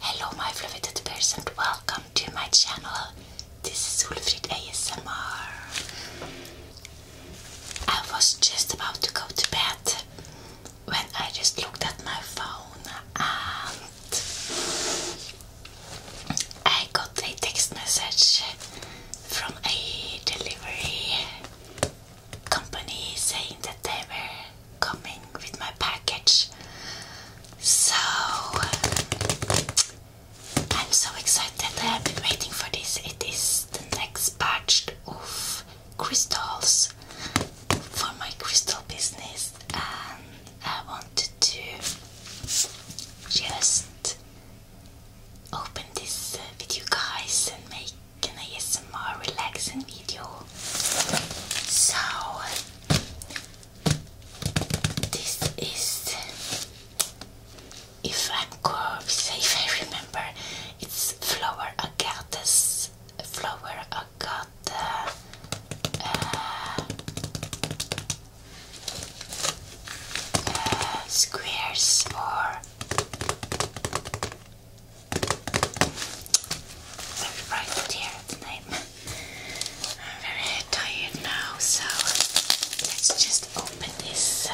Hello my beloved bears and welcome to my channel. This is Ulfrid ASMR. I was just about to go to bed when I just looked at my phone and I got a text message from a delivery company saying that they were coming with my package. So I'm so excited. I have been waiting for this. It is the next batch of crystals for my crystal business, and I wanted to just open this with you guys and make some more relaxing video so this is if I'm correct, if I remember, it's flower agatas, flower agata. Uh, uh, squares or so here, the I'm very tired now, so let's just open this.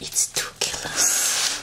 It's too kilos.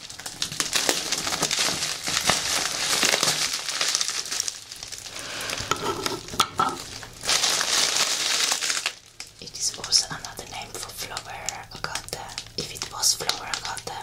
It is also another name for flower agate, if it was flower agate.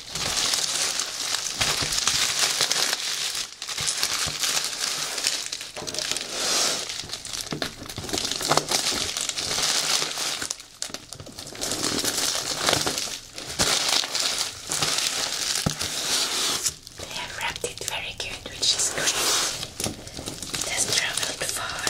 They have wrapped it very good, which is great. It has traveled far.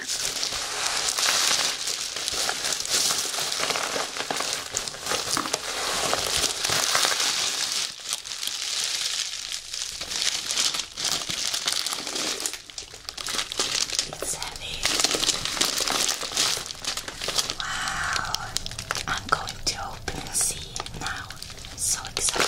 It's heavy. Wow. I'm going to open and see it now. I'm so excited.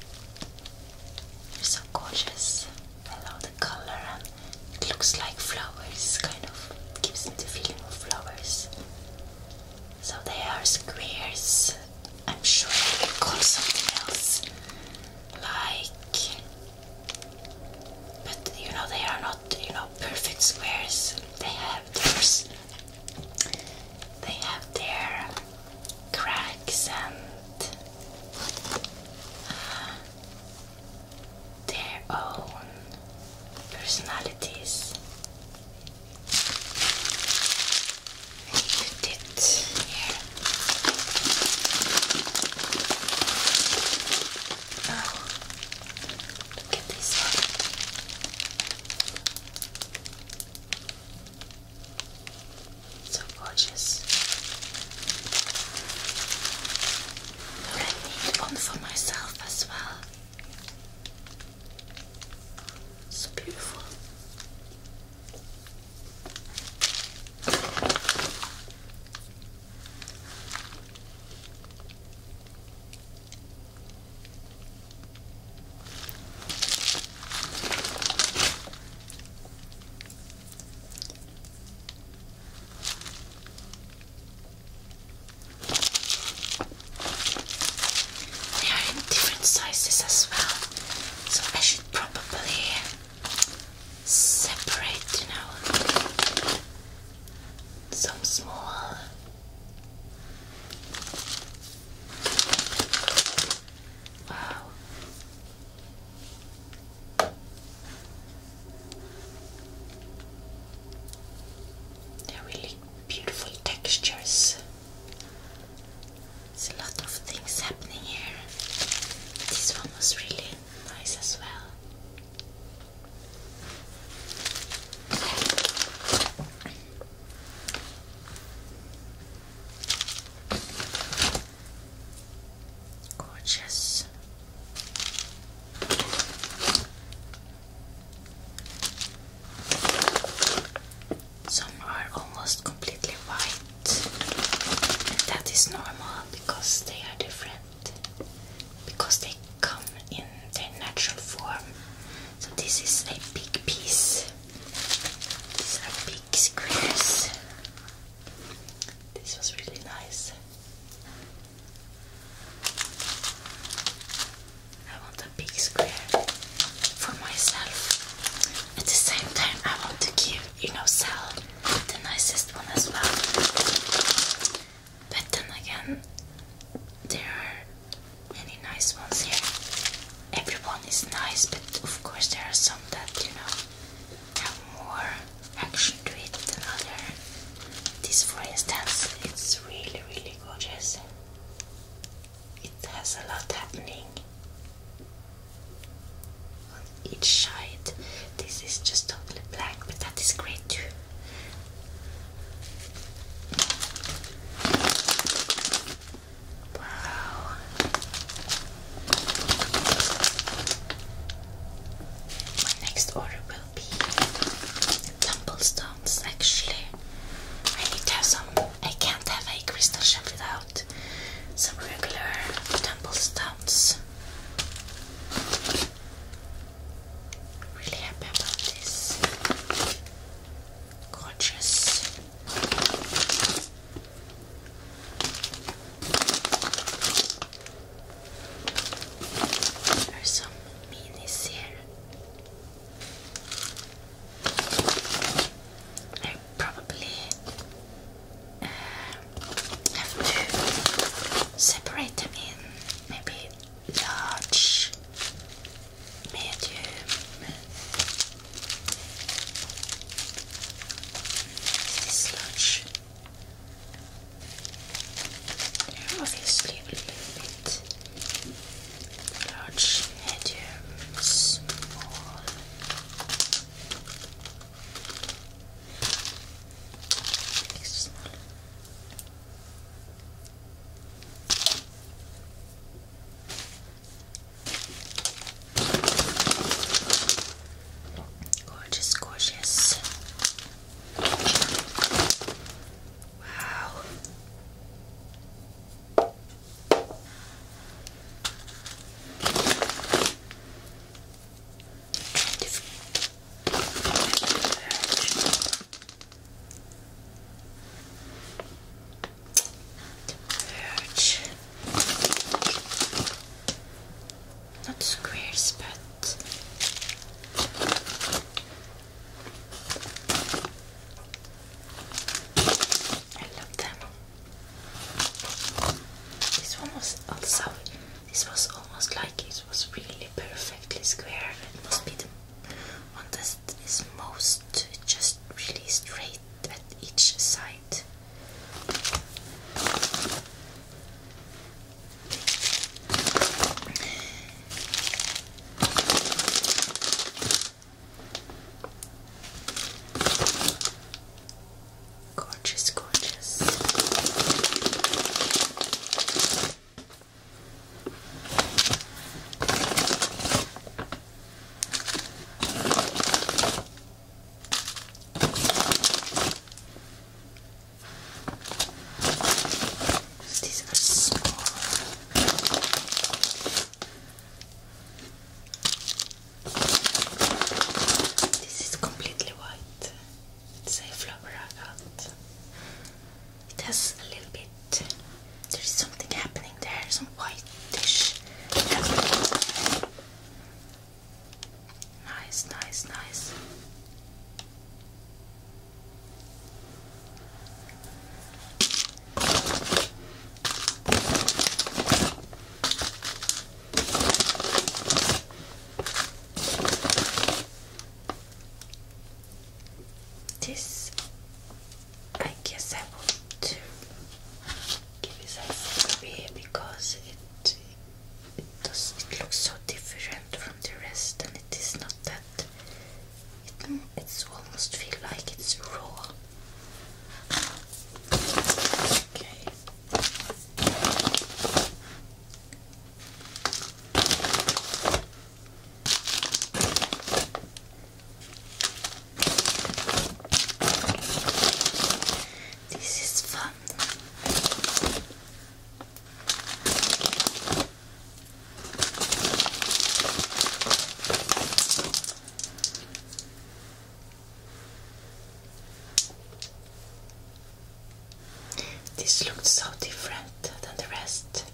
They're so gorgeous. I love the color and it looks like flowers, kind of gives me the feeling of flowers. So they are squares. I'm sure they call something else. Like but you know they are not, you know, perfect squares. They have their they have their cracks and uh, their own personalities. I put it here. Oh, look at this one. So gorgeous. I need one for myself as well. So beautiful. They are in different sizes as well, so I should probably separate, you know, some small. Wow. They're really beautiful textures. There's a lot of things happening here. This one was really nice as well. Gorgeous. Some are almost completely white, and that is normal because they are different, because they come in their natural form. So, this is a big piece. These are big screws. This was really nice. I want a big square for myself. At the same time, I want to give, you know, Sal the nicest one as well. But then again, there are many nice ones here. Everyone is nice, but of course there are some that, you know, have more action to it than other. This, for instance, it's really, really gorgeous. It has a lot happening on each side. This is just totally black, but that is great too. My next order will be tumblestones. Actually, I need to have some. I can't have a crystal shop without some regular tumblestones. Really happy about this. Gorgeous. There's some minis here. I probably uh, have to separate them in maybe large, medium, this They're obviously a little bit large, medium, small. small. Gorgeous, gorgeous. Wow. Verge. Not squares, but I love them. This one was also. This was almost like it was really perfectly square. It must be the one that is most just really straight at each side right. Gorgeous, gorgeous. These are small. This is completely white. It's a flower out. It has a little bit. There is something happening. There's there, white dish. Nice, nice, nice. This I guess I want to give it a away because it it does it looks so different from the rest and it is not that it it's almost feel like it's raw. Okay. This is fun. This looked so different than the rest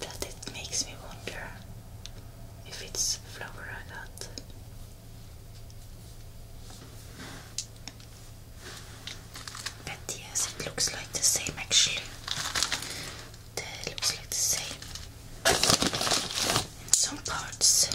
that it makes me wonder if it's flower I got but yes, it looks like the same actually. It looks like the same in some parts.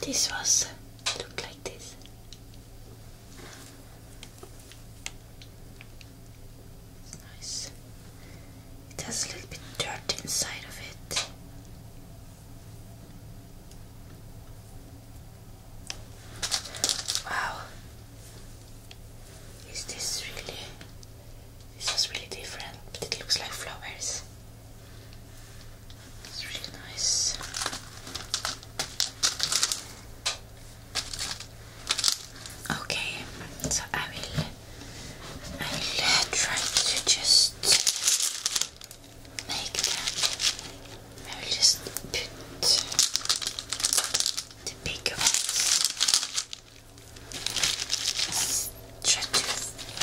This was look like this. nice. It has a little bit dirt inside of it. Wow. Is this really this is really different, but it looks like flowers. It's really nice. Okay, so I will I'm trying to just make them. I will just put the bigger ones. Try to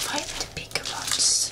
find the bigger ones.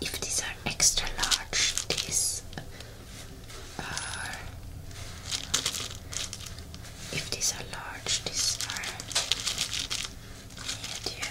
If these are extra large, these are. If these are large, these are medium.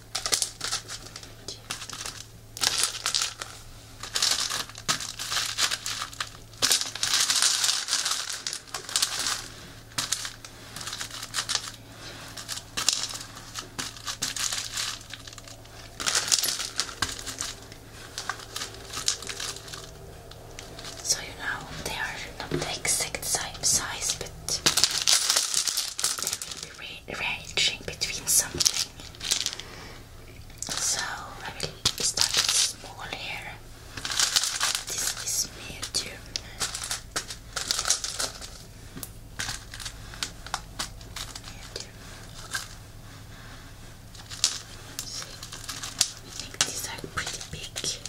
So you know they are not the exact same size, but they will be ranging between something. So I will start small here. This is medium. Medium. See, I think these are pretty big.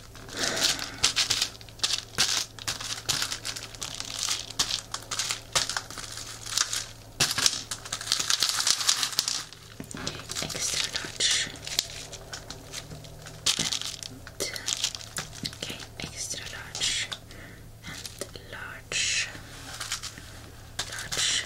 Extra large. And, okay, extra large and large, large.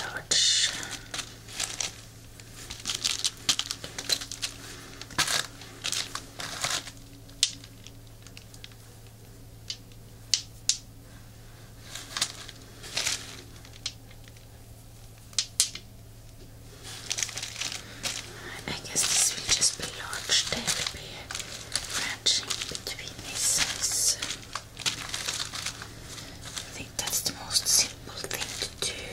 large. I guess this will just be large. There between these sides. I think that's the most simple thing to do.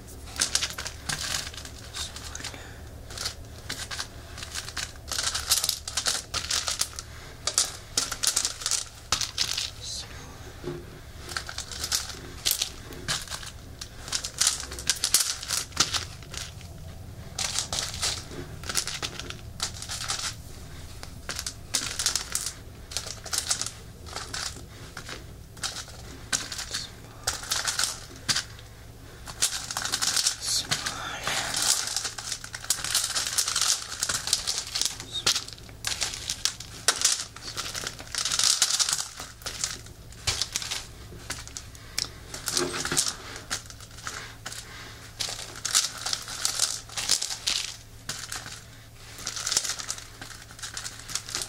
This one. So. Small.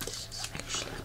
This is actually mint.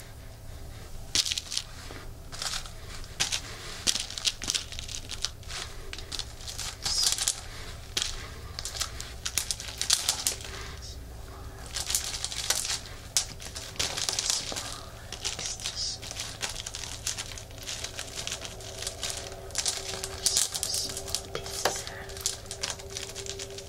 Small pieces.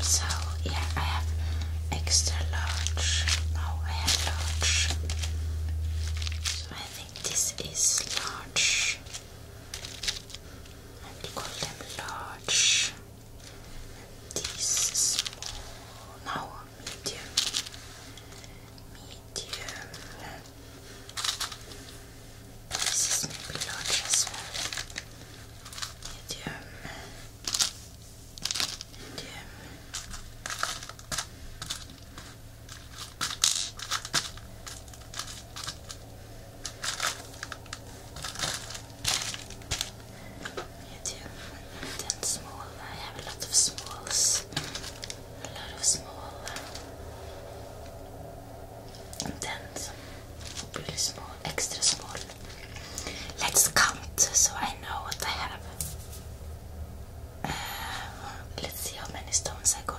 So yeah, I have extra large. No, I have large. So I think this is large. I call them large. This small. No, medium. Medium. This is maybe large as well. Medium. Medium. Medium then small. I have a lot of smalls. A lot of small. And then some really small, extra small. Let's count so I know what I have. Uh, let's see how many stones I got.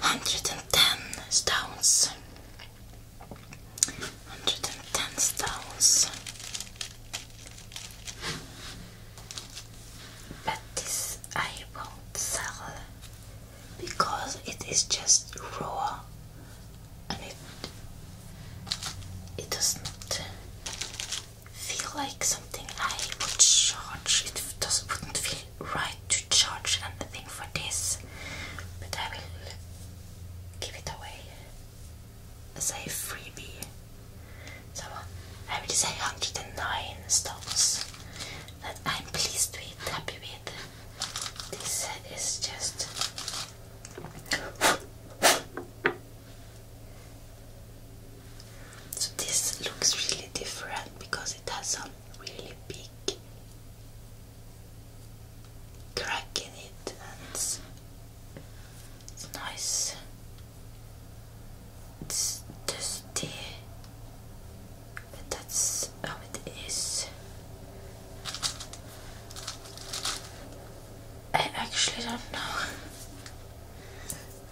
hundred and ten stones. Hundred and ten stones. But this I won't sell because it is just raw and it it doesn't feel like something I would charge. It doesn't wouldn't feel right to charge anything for this, but I will give it away as a freebie. So I would say 109 stones that I'm pleased to with, happy with. This set is just. So this looks really different because it has some really big crack it it's, it's nice it's dusty but that's how it is I actually don't know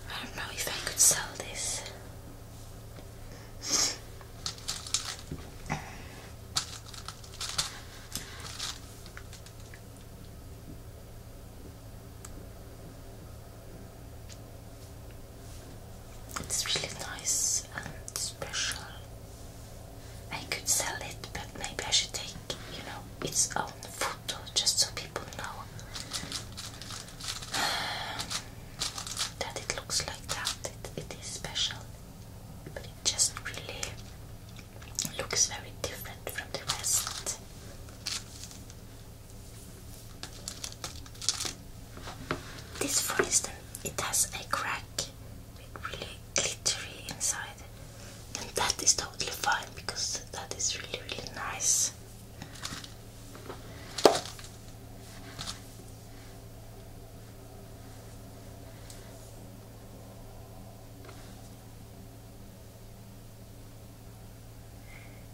I don't know if I could sell this it's really nice and special. I could sell it, but maybe I should take, you know, its own photo just so people know. that it looks like that. It, it is special, but it just really looks very different from the rest. This, for instance, it has a crack with really glittery inside, and that is totally fine because that is really, really nice.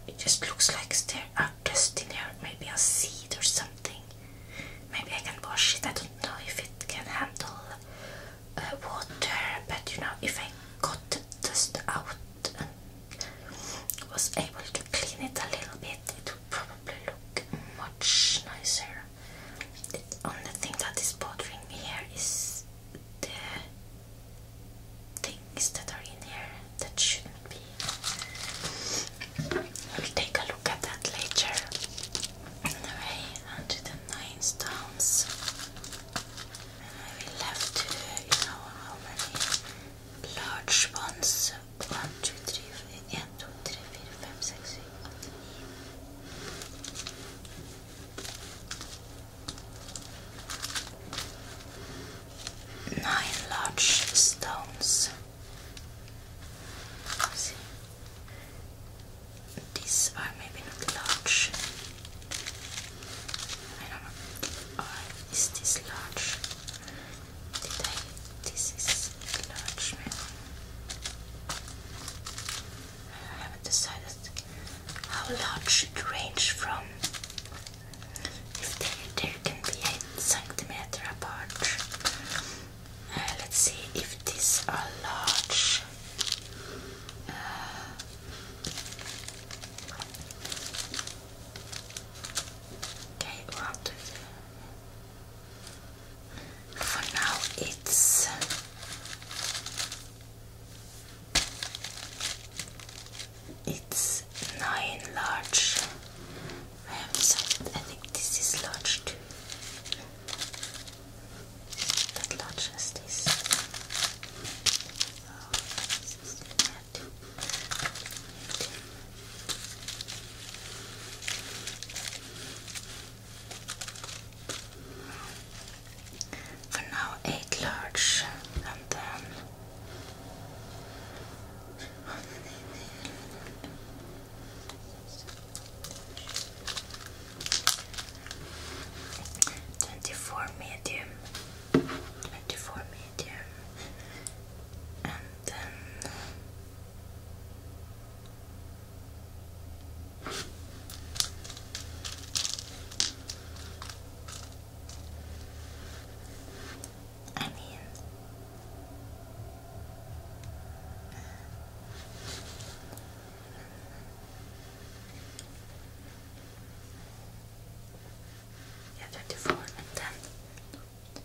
It just looks like there are uh, dust in here, maybe a seed or something. Maybe I can wash it. I don't know if it can handle uh, water, but you know, if I got the dust out and was able to clean it a little bit, it probably look much nicer. The only thing that is bothering me here is the things that are in here that shouldn't be. We'll take a look at that later. Anyway, until the nine stones. I will have to, you know, how many large ones 1, 9 large stones These are maybe not large. I don't know. is this large? this is enlargement. I haven't decided how large it ranges from. If they, they can be 8 centimeter apart. Uh, let's see if these are large. Uh, okay, we'll for now, it's it's nine large rams. I think this is large too. That large as this. Oh, for now, eight large, and then twenty-four medium, twenty-four medium, and then. I mean, yeah, 24 and then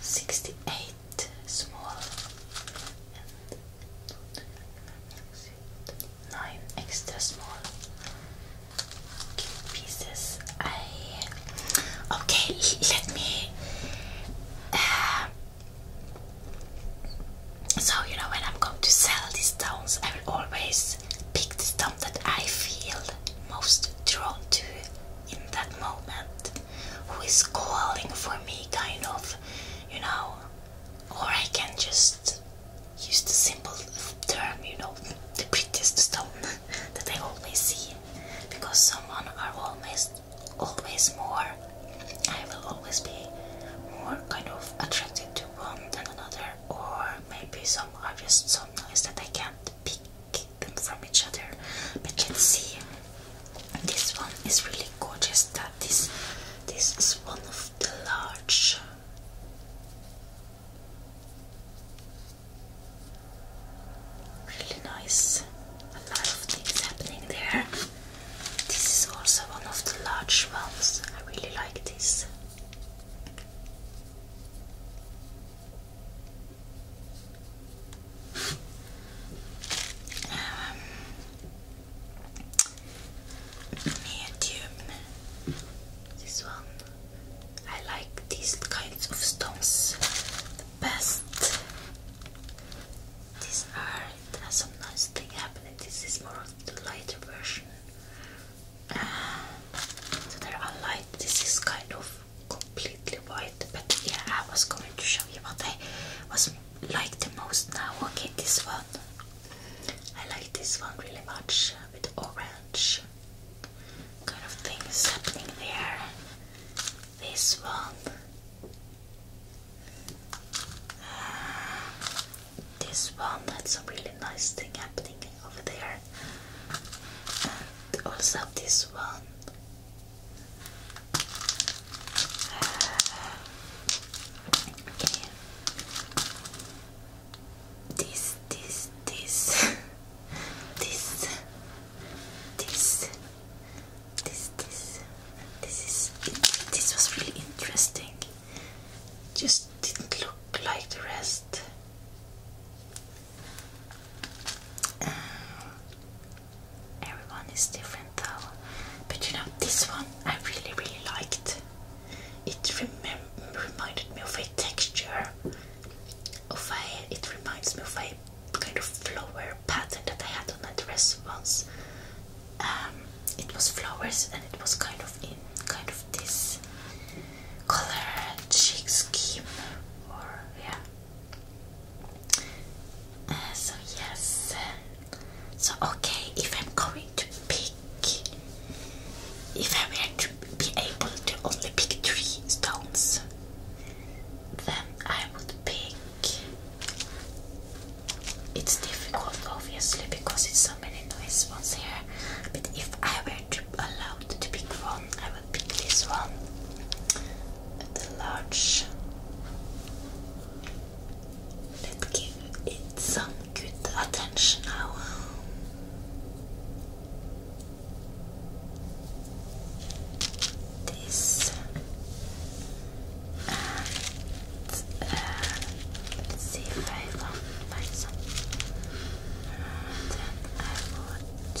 68 small and 9 extra small pieces. I okay, let me. Uh, so you know when I'm going to sell these stones, I will always pick the stone that I feel most drawn to in that moment who is calling for me, kind of, you know, or I can just use the simple term, you know, the prettiest stone that I always see, because someone are always, always more. I will always be more kind of attracted to one than another, or maybe some are just some nice that I can't pick from each other. But you can see. This one is really gorgeous. That this this is one of the large. Really nice. A lot of things happening there. This is also one of the large ones. I really like this medium. This one. I like these kinds of stones the best. These are. It has some nice thing happening. This is more the lighter version. so they're unlike. This is kind of completely white but yeah I was going to show you what I was like the most now okay this one I like this one really much uh, with orange kind of things happening there this one uh, this one had some really nice thing happening over there and also this one this, this, this, this, this, this, this was really interesting. Just didn't look like the rest. everyone is different though. But you know, this one I really, really liked. It reminded me of a texture, of a, it reminds me of a kind of flower pattern that I had on a dress once. Um, it was flowers and it was kind of in kind of this color cheek scheme or yeah uh, so yes. So okay, if I'm going to pick, if I were to be able to only pick three stones, then I would pick. It's difficult, obviously, because it's so many nice ones here. But if I were to allowed to pick one, I pick this one the large let's give it some good attention now this uh, let's see if I find some then I would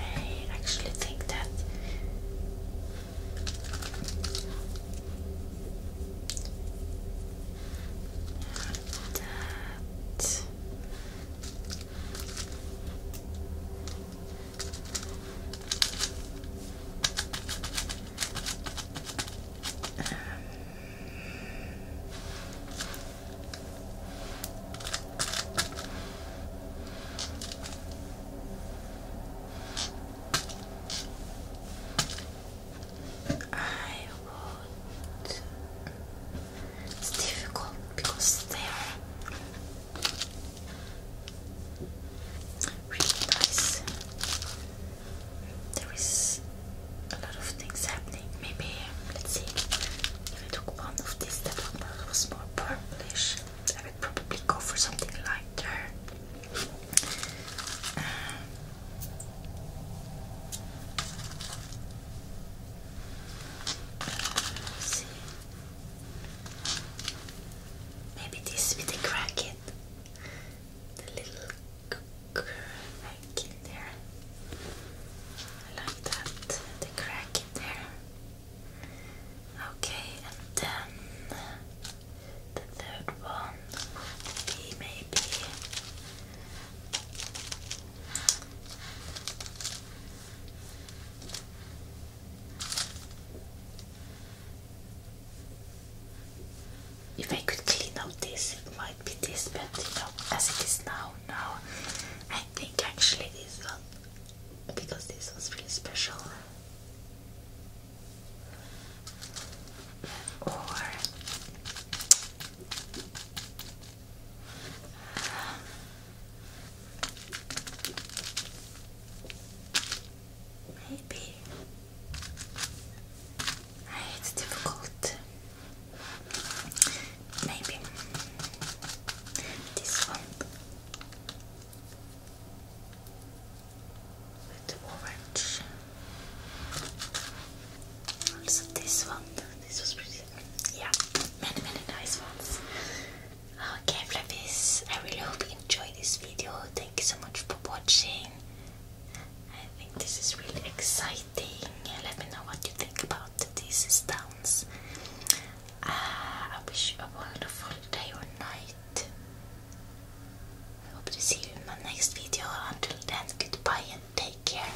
I actually think that that. Um, I would. It's difficult because there. are There is a lot of things happening. Maybe let's see. If I took one of these, that one was more purplish. I would probably go for something lighter. Um, Maybe this with crack it. The little crack in there. I like that. The crack in there. Okay, and then the third one maybe if I could clean out this, it might be this, but you know, as it is now, now I think actually this one, because this one's really special or maybe it's difficult. Maybe this one with orange. Also this one, this was pretty, yeah, many many nice ones. Okay flappies, I really hope you enjoyed this video, thank you so much for watching. I think this is really exciting, let me know what you think about these stunts. Uh, I wish you a wonderful day or night. I hope to see you in my next video. Until then, goodbye and take care.